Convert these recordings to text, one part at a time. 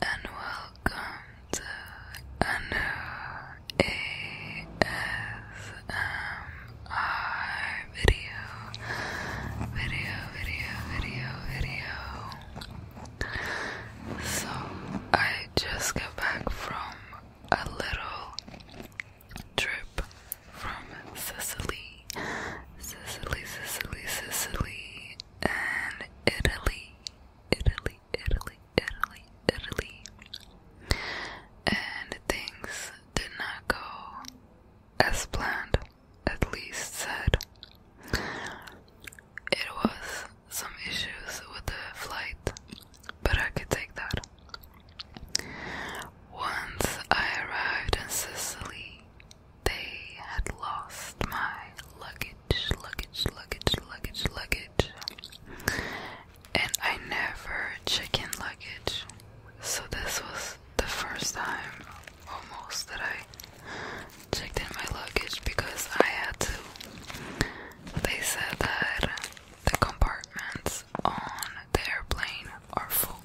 and welcome to a video. Video, video, video, video. So, I just got back from a little trip from Sicily. Sicily, Sicily, Sicily, and Italy, Italy, Italy, Italy, Italy. And things did not go as planned, at least said. It was some issues with the flight, but I could take that. Once I arrived in Sicily, they had lost my luggage, luggage, luggage, luggage, luggage. And I never checked in luggage. So this was the first time almost that I checked in my luggage because I had to. They said that the compartments on the airplane are full.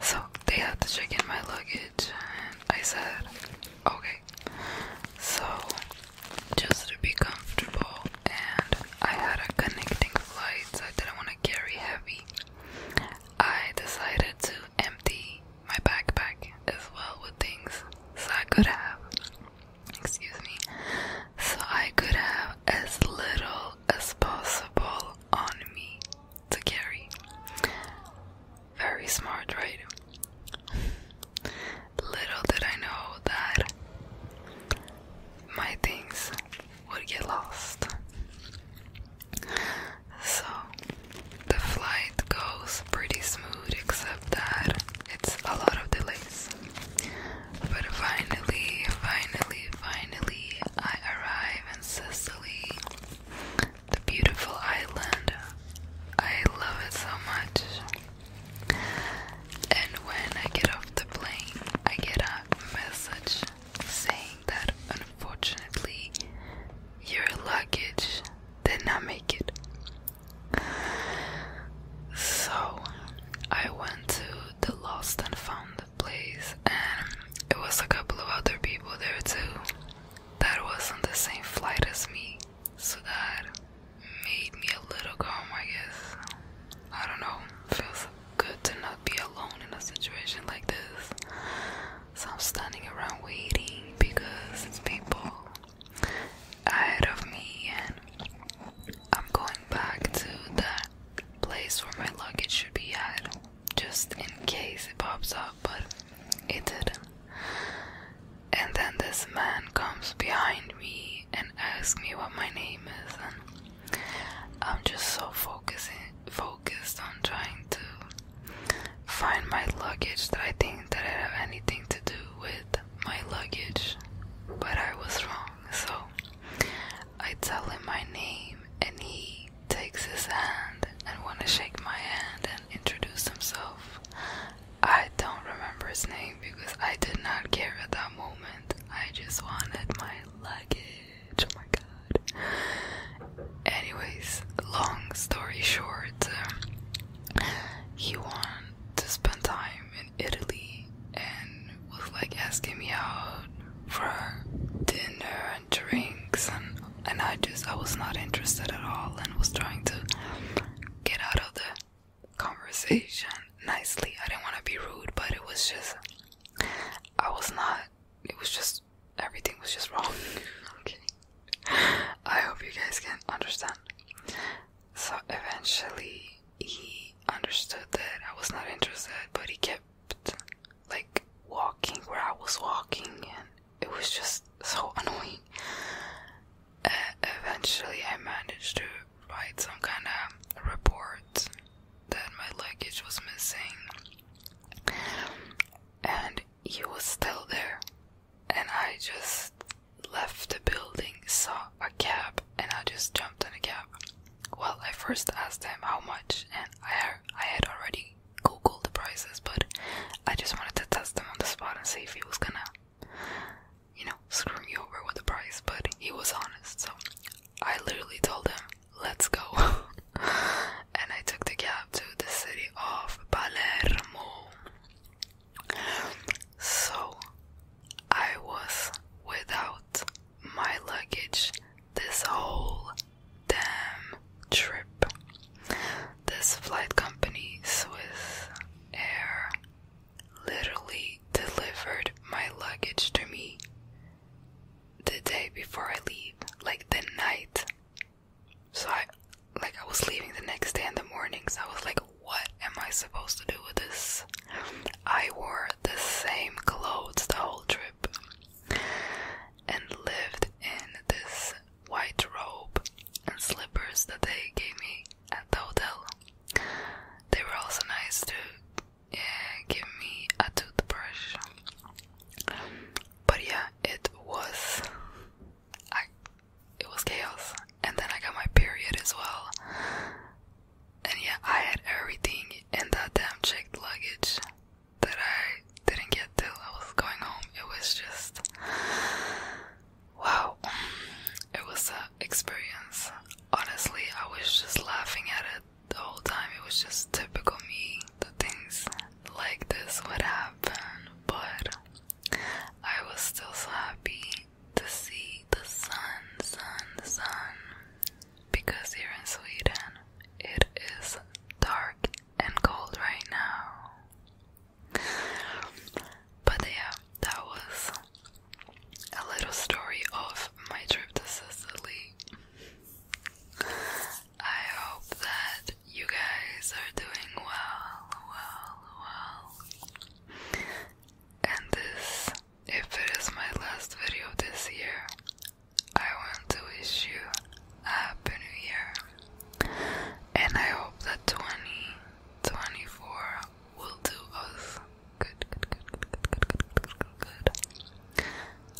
So they had to check in my luggage, and I said, okay. So just to be comfortable, and I had a connecting flight, so I didn't want to carry heavy. I decided to empty my backpack as well with things, so I could have, excuse me, so I could have as little as possible on me to carry. Very smart, right? Little did I know that my things would get lost. So the flight goes pretty smooth, except that it's a lot of delays. But finally, finally, finally, I arrive in Sicily, the beautiful island. I love it so much. And when I get off the plane, I get a message saying that unfortunately your luggage did not make it. So I went to the lost and found place, and it was a couple of other people there too that was not the same flight as me, so that made me a little calm, I guess. I don't know, feels good to not be alone in a situation like this. So I'm standing around waiting because it's people ahead of me, and I'm going back to that place where my luggage should be at, just in case it pops up, but it didn't. And then this man comes behind me and asks me what my name is, and I'm just so focusing, focused on trying to find my luggage that I think that I have anything to do with my luggage, but I was wrong. So I tell him my name and he takes his hand and wanna shake my hand and introduce himself. I don't remember his name because I did not care at that moment. I just wanted my luggage. Oh my god. Anyways, long story short, um, he won to spend time in Italy and was like asking me out for dinner and drinks and and I just I was not interested at all and was trying to get out of the conversation nicely. I didn't want to be rude, but it was just I was not it was just everything was just wrong. okay. I hope you guys can understand. So eventually he understood that I was not interested, but he kept like walking where I was walking, and it was just so annoying. eventually, I managed to write some kind of report that my luggage was missing, and he was still there and I just left the building, saw a cab, and I just jumped in a cab. Well, I first asked him how much, and I, had already googled the prices, but I just wanted to test him on the spot and see if he was gonna, you know, screw me over with the price. But he was honest, so I literally told him, let's go. and I took the cab to the city of Palermo. So I was without my luggage this whole damn trip. This flight company, Swiss Air, literally delivered my luggage to me the day before I leave, like the night so I like I was leaving the next day in the morning. So I was like, what am I supposed to do with this? I wore the same clothes the whole trip and lived in this white robe and slippers that they gave me at the hotel. They were also nice to yeah, give me a toothbrush. But yeah, it was I it was chaos. And then I got my period as well. And yeah, I had everything in that damn checked luggage that I didn't get till I was going home. It was just wow. It was an experience. Honestly, I was just laughing at it the whole time. It was just typical me. The things like this would happen, but I was still so happy to see the sun, sun, sun, because here in Sweden it is dark and cold right now. But yeah, that was a little story of my trip to Sicily. I hope that you guys are doing well, well, well. And this, if it is my last video this year, I want to wish you a happy new year. And I hope that 2024 will do us good, good, good, good, good, good, good, good, good.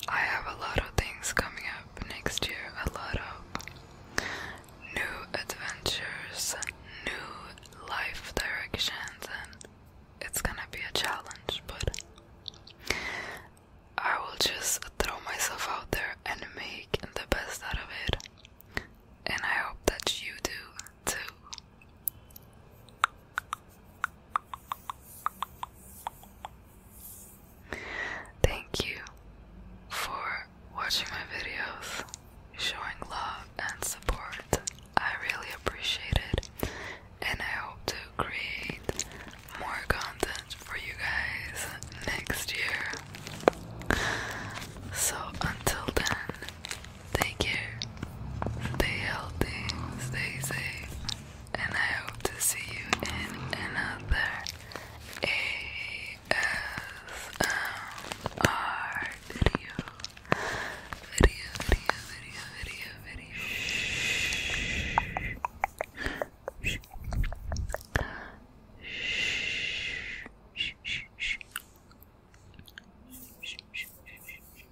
I have a lot of things coming up next year, a lot of new adventures, new life directions, and it's gonna be a challenge, but I will just throw myself out there and make the best out of it. And I hope that you do too. Thank you for watching my videos, showing love and support. I really appreciate it, and I hope to create more content for you guys next year. So, until then, take care, stay healthy, stay safe and I hope to see you in another ASMR video. Video, video, video, video, video. Shh. Shh. Shh. Shh. Shh. Shh. Shh. Shh. Shh.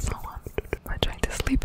So um, I'm trying to sleep.